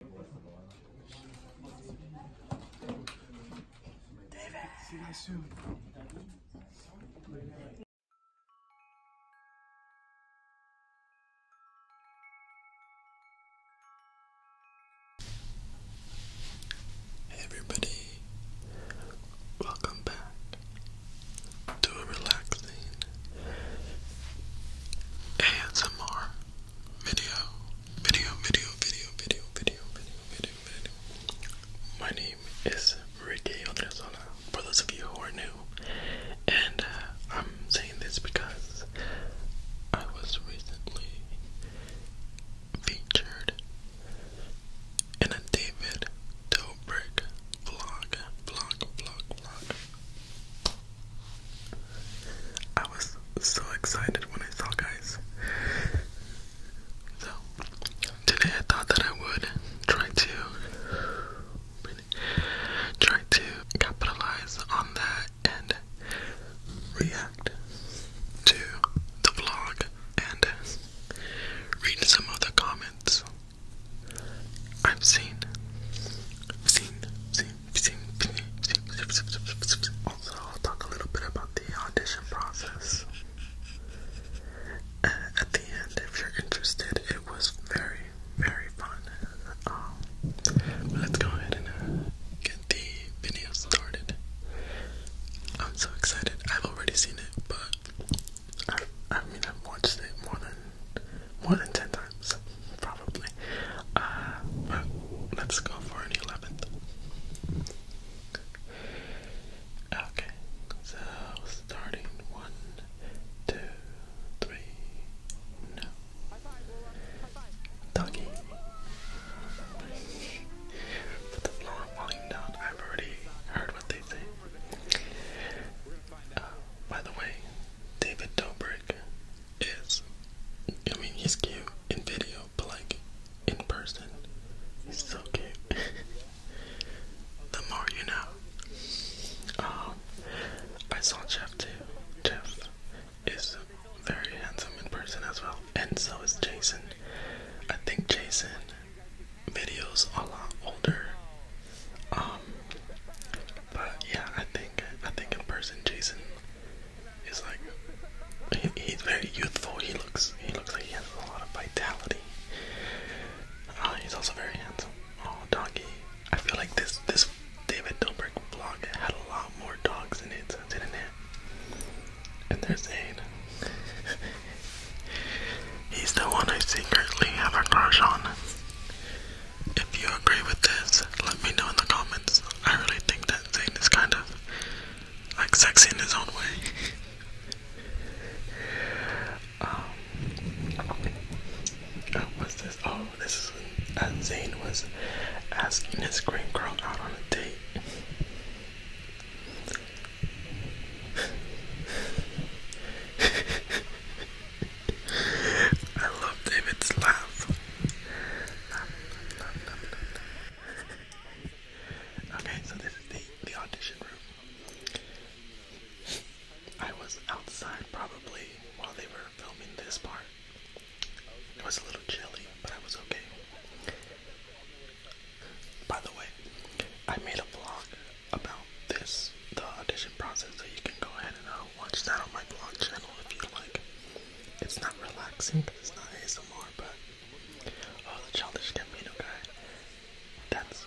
See you guys soon. Hey everybody, welcome back to a relaxing ASMR video, video, video, video, video, video, video, video, video. My name is Ricky Odrezola, for those of you who are new, and uh, I'm saying this because I was recently featured in a David Dobrik vlog, vlog, vlog, vlog, I was so excited when I saw guys. So today I thought that I would try to try to capitalize on that and react to the vlog and read some of the comments I've seen, seen, seen, also, I'll talk a little bit about the audition process. Uh, at the end, if you're interested, it was very, very fun. Um, let's go ahead and uh, get the video started. I'm so excited. I've already seen it, but I mean, I've watched it more than more than 10 times, probably. Uh, but let's go for an 11th. Okay, so starting one, two, three, no. Doggy. Put the floor volume down. I've already heard what they say. Uh, by the way, David Dobrik is I mean he's cute in video, but like in person, he's so cute. the more you know. Um I saw Jeff too. Jeff is very handsome in person as well. And so is Jason. I think Jason videos a lot older. Um but yeah, I think I think in person Jason is like he's very youthful. He looks he looks like he has a lot of vitality. Uh, he's also very handsome. Oh, doggy! I feel like this this David Dobrik vlog had a lot more dogs in it, didn't it? And there's Aiden. He's the one I secretly have a crush on. If you agree with this, let me know in the comments. I really think that Zayn is kind of like sexy in his own way. um, uh, what's this? Oh, this is uh, Zayn was asking his green girl out on a date. I love David's laugh. Okay, so this is the, the audition room. I was outside probably while they were filming this part. It was a little chilly, but I was okay. By the way, I made a vlog about this, the audition process, so you can go ahead and uh, watch that on my vlog channel if you like. It's not relaxing because it's not ASMR, but oh, the Childish Gambino guy, that's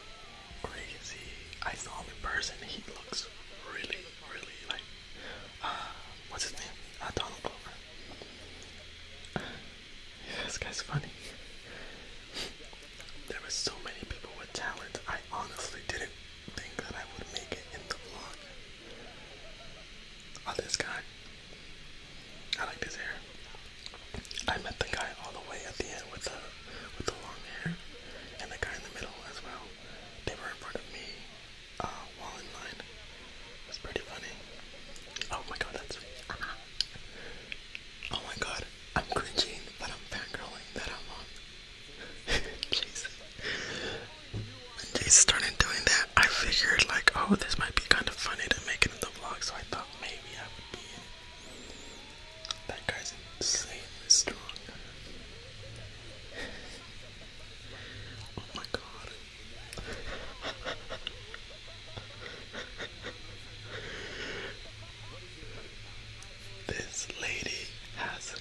crazy. I saw him in person. He looks really, really like uh, what's his name? Uh, Donald Glover. Uh, this guy's funny. there were so many people with talent. I honestly didn't think that I would make it in the vlog. Oh, this guy. I like his hair. I met the guy all the way at the end with the with the long hair, and the guy in the middle as well. They were in front of me, uh, in line. It pretty funny. Oh my god, that's. Uh-huh. oh my god, I'm cringing, but I'm fangirling that I'm on Jeez. When started doing that, I figured like, oh, this might be kind of funny to make it in the vlog, so I thought maybe I would be in. That guy's insanely strong. oh my god. This lady has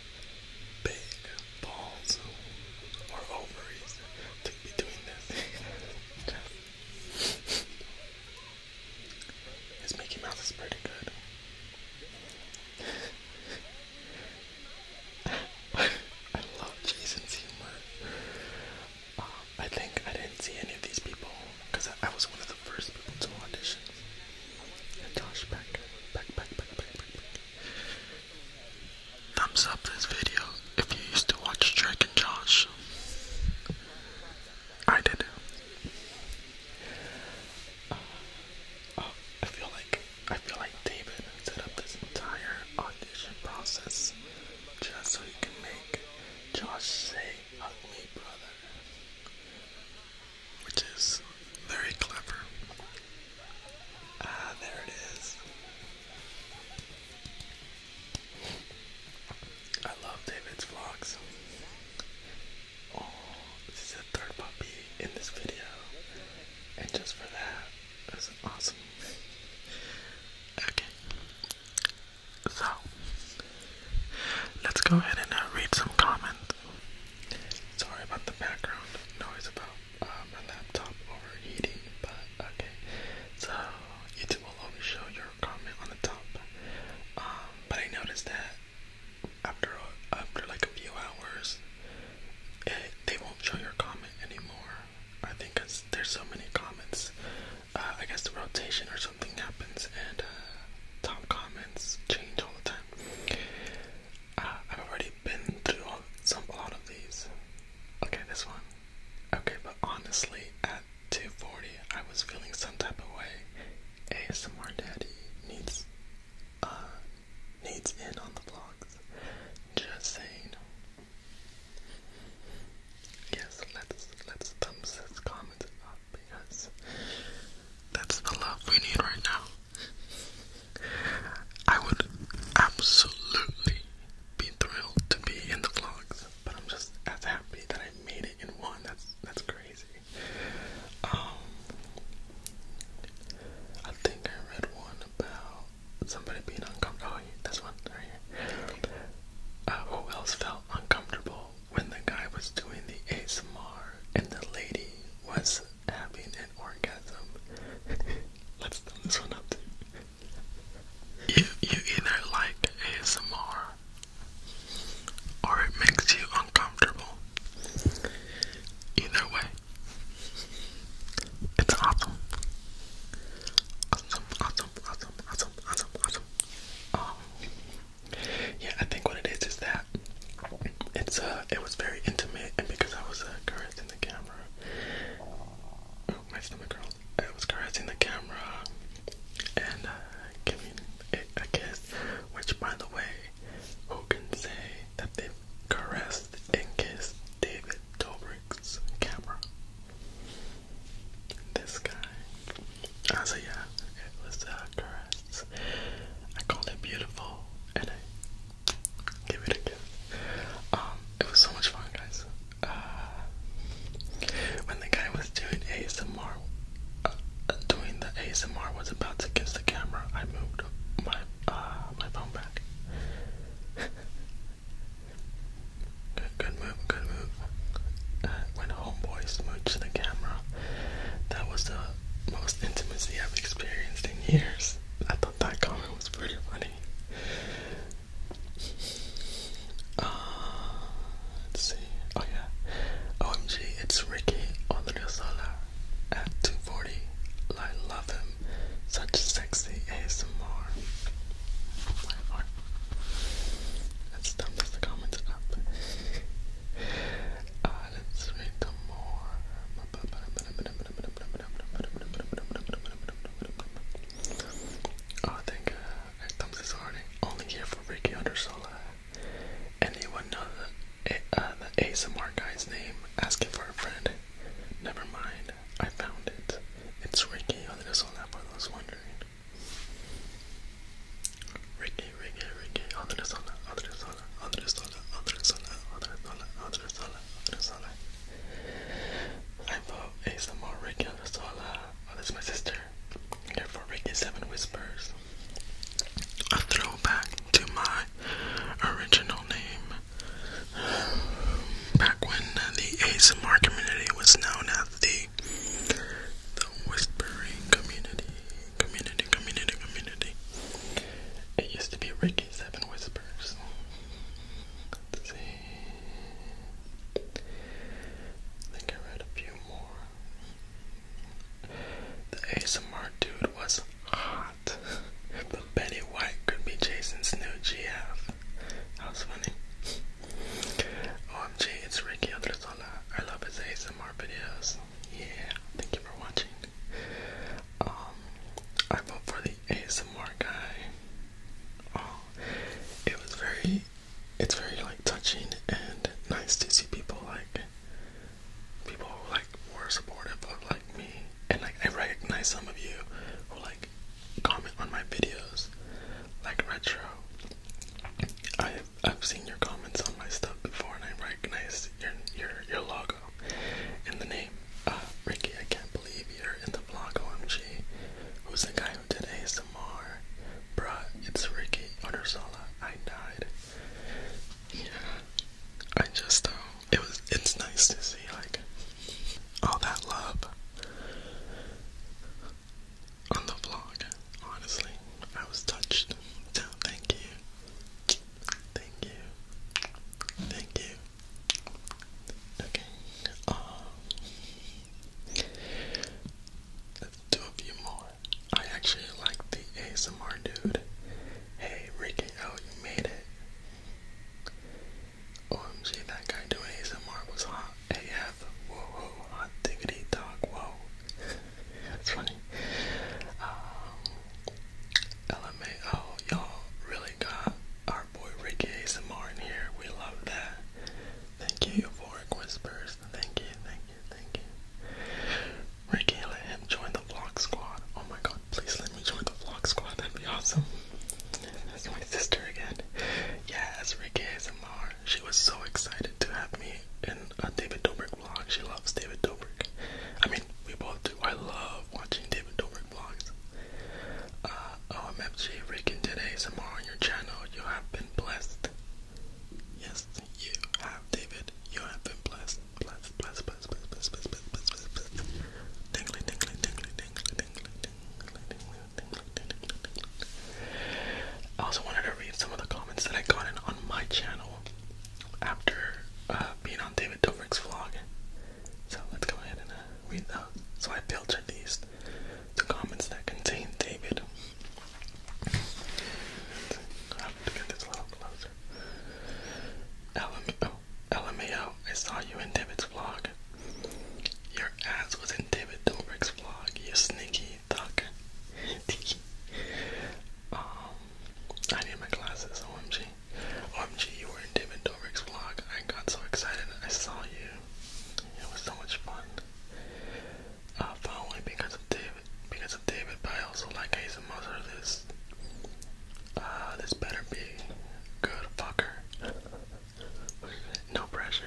big balls or ovaries to be doing this. His Mickey Mouse is pretty good. I love Jason's humor. Um, I think I didn't see any of these people because I, I was one of the first people to audition. Josh back, back, back, back, back, back, back. Thumbs up this video if you used to watch Drake and Josh. I did. Uh, uh, I feel like I feel like David set up this entire audition process just so he can make Josh say "Hug me, brother." which is very clever. Ah, there it is. I love David's vlogs. Oh, this is the third puppy in this video. And just for that, it awesome. Okay. So Let's go ahead and uh, read some comments. Sorry about the background noise about um, my laptop overheating, but okay. So YouTube will always show your comment on the top. Um, but I noticed that after uh, after like a few hours, it, eh, they won't show your comment anymore. I think cause there's so many comments. Uh, I guess the rotation or something happens and uh, top comments change all the time. Uh, I've already been through some a lot of these. Okay, this one. Okay, but honestly, at 240, I was feeling some type of way. ASMR Daddy needs uh needs in on the vlogs. Just saying. Yes, let's let's thumbs, let comment. Uh, because that's the love we need right now. I would absolutely be thrilled to be in the vlogs, but I'm just as happy that I made it in one. That's that's crazy. Um, I think I read one about somebody being uncomfortable. Oh, yeah, this one right here. Uh, who else felt uncomfortable when the guy was doing the ASMR and the lady was having an orgasm. Let's thumb this one up You, you either like ASMR or it makes you uncomfortable. Either way, it's awesome. Awesome, awesome, awesome, awesome, awesome, awesome. Um, yeah, I think what it is is that it's uh it was very intimate and because I was uh, caressing the camera. Oh, my stomach girl. I was caressing the camera and uh, giving it a kiss, which by the way, who can say that they've caressed and kissed David Dobrik's camera? This guy. I so yeah, it was uh, caress. I called it beautiful, and I gave it a kiss. Um, it was so much fun, guys. Uh, when the guy was doing ASMR, uh, doing the ASMR was about to kiss the camera, I moved my uh, my phone back. Good, move, good move. Uh, when homeboy smooched the camera, that was the most intimacy I've experienced in years. I thought that comment was pretty funny. Uh, let's see. Oh yeah. OMG, it's Ricky Odriozola at 240. I love him. Such sexy and oh more. Let's thumbs the comments up. Uh, let's read them more. Oh, I think uh, I thumbs is already only here for Ricky Undersola. Anyone know the, uh, the ASMR guy's name? Ask for a friend. Never mind, I found it. It's Ricky Undersola for those wondering. Ricky, Ricky, Ricky, Andre Sola, Andre Sola, Andre Sola, I'm for ASMR Ricky Andre oh, that's my sister. Here for Ricky Seven Whispers. A throwback to my original name. Back when the ASMR community was known as of the the whispering community, community, community, community. It used to be Ricky Seven Whispers. Let's see. I think I read a few more. The ASMR dude was hot. But Betty White could be Jason's new GF. That was funny. OMG, it's Ricky Odrezola. I love his ASMR videos. Yeah, thank you for watching. Um, I vote for the ASMR guy. Oh, it was very, it's very like touching and nice to see people like, people who like were supportive of like me. And like I recognize some of you who like comment on my videos like retro. I I've seen your comments on my stuff before and I recognize your your your logo and the name. Uh Ricky, I can't believe you're in the vlog OMG. Who's the guy who did ASMR? Bruh, it's Ricky Oderzola. I died. Yeah. I just um it was it's nice to see like all that love on the vlog. Honestly, I was touched. So thank you. Thank you. Thank you. Okay. Um, let's do more. I actually like the ASMR dude. Hey Ricky, oh you made it. OMG, that guy doing ASMR was hot AF. Whoa, whoa, hot diggity dog, whoa. That's funny. Um, LMAO, y'all really got our boy Ricky ASMR in here. We love that. Thank you, Euphoric Whispers. Thank you, thank you, thank you. Ricky, let him join the vlog squad. Oh my god, please let me join the vlog squad. That'd be awesome. That's my sister again. Yes, Ricky ASMR. She was so excited to have me in a David Dobrik vlog. She loves David Dobrik. I mean, we both do. I love watching David Dobrik vlogs. Uh, OMFG, oh, Ricky did ASMR on your channel. You have been blessed. Yes, you have, David. You have been blessed. Blessed, blessed, blessed, blessed, blessed, blessed, blessed, blessed, blessed. Dingly, dingly, dingly, dingly, dingly, I also wanted to read some of the comments that I got in on my channel after uh, being on David Dobrik's vlog. So let's go ahead and uh, read those. So I filtered these the comments that contain David. I have to get this a little closer. LMAO, oh, saw you in David's vlog. God. Your ass was in David Dobrik's vlog, you sneaky duck. um, I need my glasses, OMG. OMG, you were in David Dobrik's vlog. I got so excited I saw you. It was so much fun. Uh, following because of David, because of David, but I also like Hazen Mother. This, uh, this better be good fucker no pressure.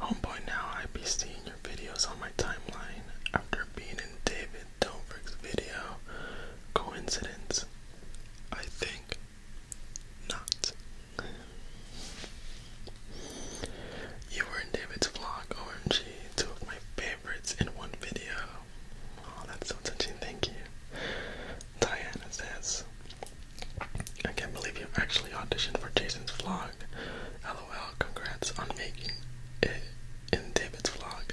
Homeboy, now I be seeing your videos on my timeline after being in David Dobrik's video. Coincidence? I think not. You were in David's vlog, OMG, two of my favorites in one video. Oh, that's so touching, thank you. Diana says, I can't believe you actually auditioned for Jason's vlog. LOL, congrats on making it in David's vlog.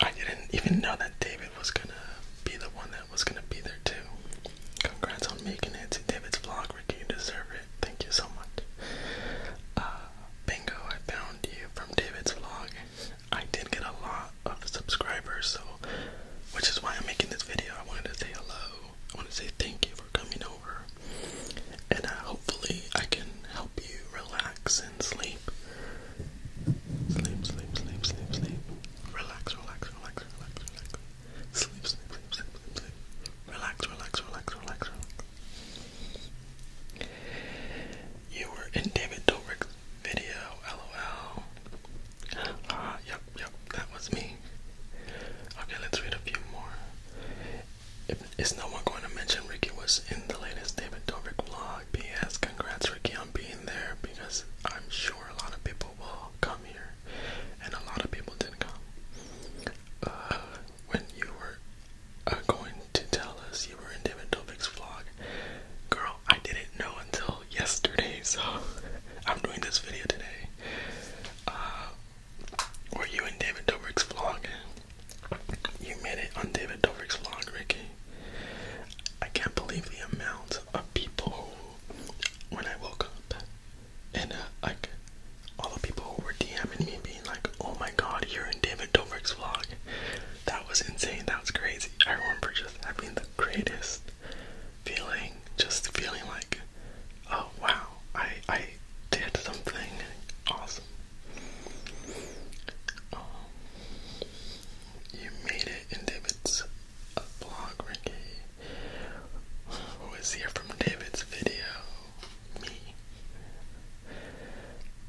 I didn't even know that David was gonna be the one that was gonna be there too. Congrats on making it to David's vlog, Ricky. You deserve it. Thank you so much. Uh, bingo, I found you from David's vlog. I did get a lot of subscribers, so which is why I'm making this video. I wanted to say hello. I want to say thank you for coming over, and uh, hopefully I can help you relax and sleep. Sleep, sleep, sleep, sleep, sleep. Relax, relax, relax, relax, relax. Sleep, sleep, sleep, sleep, sleep, sleep. Relax, relax, relax, relax, relax. You were in David Dobrik's video, lol. Ah, uh, yep, yep, that was me. Okay, let's read a few more. If, is no one going to mention Ricky was in the latest David Dobrik vlog? P.S. Congrats, Ricky, on being there because I'm sure a lot of people will come here, and a lot of people didn't come. Uh, when you were uh, going to tell us you were in David Dobrik's vlog, girl, I didn't know until yesterday, so I'm doing this video today. Uh, were you in David Dobrik's vlog? You made it on David Dobrik's vlog, Ricky. I can't believe the amount of people who, when I woke up, and uh, like all the people who were DMing me being like, oh my god, you're in David Dobrik's vlog that was insane. That was crazy. I remember just having the greatest feeling, just feeling like, oh wow, I I did something awesome. Um, you made it David's uh, Ricky. Who is here from David's video? Me.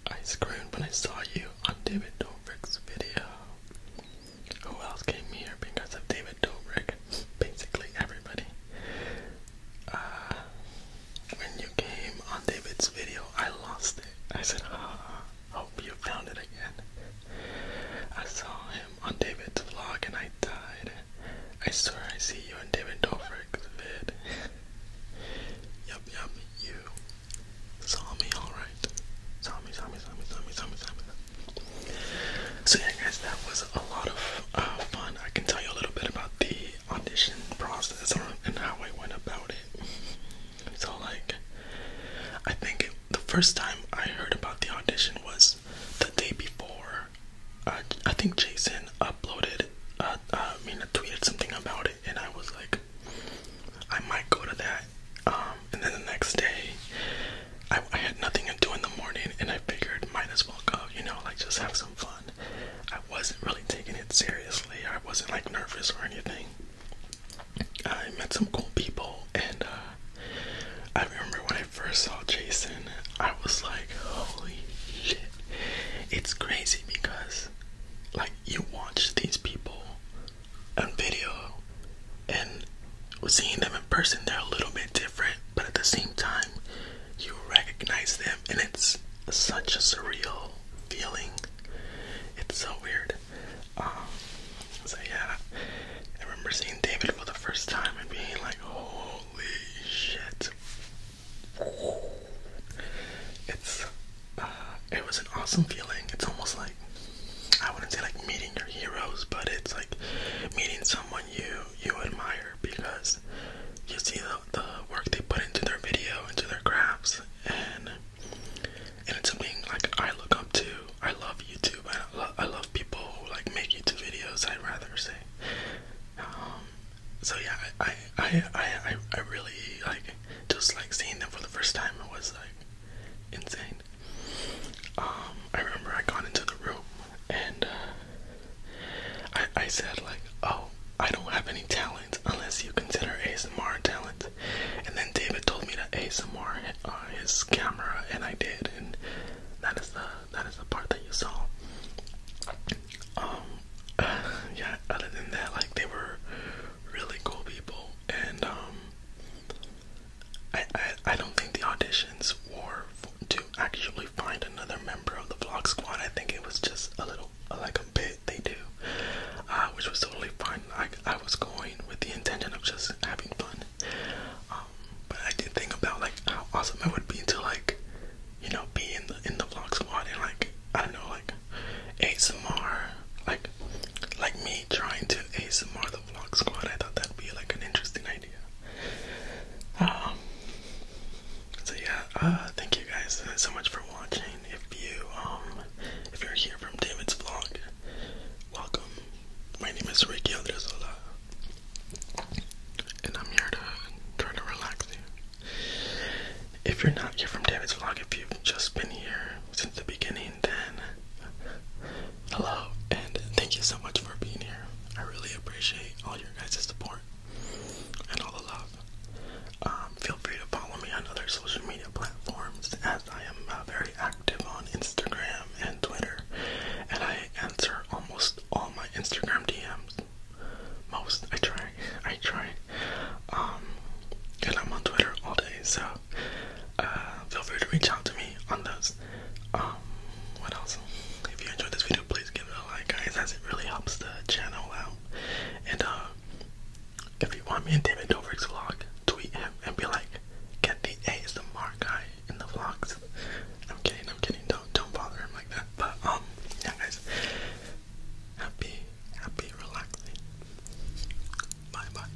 I screamed when I saw you on David Dobrik's video. Who else came here because of David Dobrik? Basically everybody. Uh, when you came on David's video, I lost it. I said, ah, hope you found it again. I saw him on David's vlog and I died. I swear I see you in David Dobrik's vid. yup, yup, you. Zombie, alright. Zombie, zombie, zombie, zombie, zombie, zombie. So yeah guys, that was a lot of uh, fun. I can tell you a little bit about the audition process and how I went about it. So like, I think the first time I heard about the audition was the day before. Uh, I think Jason uploaded, uh, uh, I mean, tweeted something about it, and I was like, I might go to that. Um, and then the next day, I, I had nothing to do in the morning, and I figured might as well go, you know, like just have some fun. I wasn't really taking it seriously. I wasn't like nervous or anything. I met some cool people, and uh, I remember when I first saw Jason, I was like, holy shit. It's crazy because like you watch these people on video and seeing them in person they're a little bit different but at the same time you recognize them and it's such a surreal feeling it's so weird um, so yeah i remember seeing david for the first time and being like holy shit it's uh, it was an awesome feeling. It's almost like I wouldn't say like meeting your heroes, but it's like meeting someone you you admire because you see the, the work they put into their video, into their crafts, and and it's something like I look up to. I love YouTube. I, lo I love people who like make YouTube videos. I'd rather say. Um, so yeah, I I I I, I really like just like seeing them for the first time, it was like insane. Um, I remember I got into the room and uh, I I said like, oh, I don't have any talent unless you consider ASMR talent. And then David told me to ASMR on uh, his camera, and I did, and that is the that is the part that you saw. Um, yeah. Other than that, like they were really cool people, and um, I, I I don't think the auditions were to actually find another member of the vlog squad. I think it was just a little like a bit they do, uh, which was totally fine. I I was going with the intention of just having fun, um, but I did think about like how awesome it would be to like, you know, be in the in the vlog squad and like I don't know like ASMR, like like me trying to ASMR the vlog squad. I thought that'd be like an interesting idea. Um, so yeah, uh, thank you guys so much for watching. If you um, if you're here from David's vlog, welcome. My name is Ricky Aldrezola, and I'm here to try to relax you. If you're not here from David's vlog, if you've just been here since the beginning, then hello and thank you so much for being here. I really appreciate all your guys' support and all the love. Um, feel free to follow me on other social media platforms as I am uh, very active on Instagram and Twitter, and I answer almost all my Instagram DMs most. I try. I try. Um, and I'm on Twitter all day, so uh, feel free to reach out to me on those. Um, what else? If you enjoyed this video, please give it a like, guys, as it really helps the channel out. And uh, if you want me in David Dobrik's vlog, tweet him and be like, get the ASMR guy in the vlogs. I'm kidding. I'm kidding. Don't don't bother him like that. But um, yeah, guys happy, happy, relaxing. Bye bye.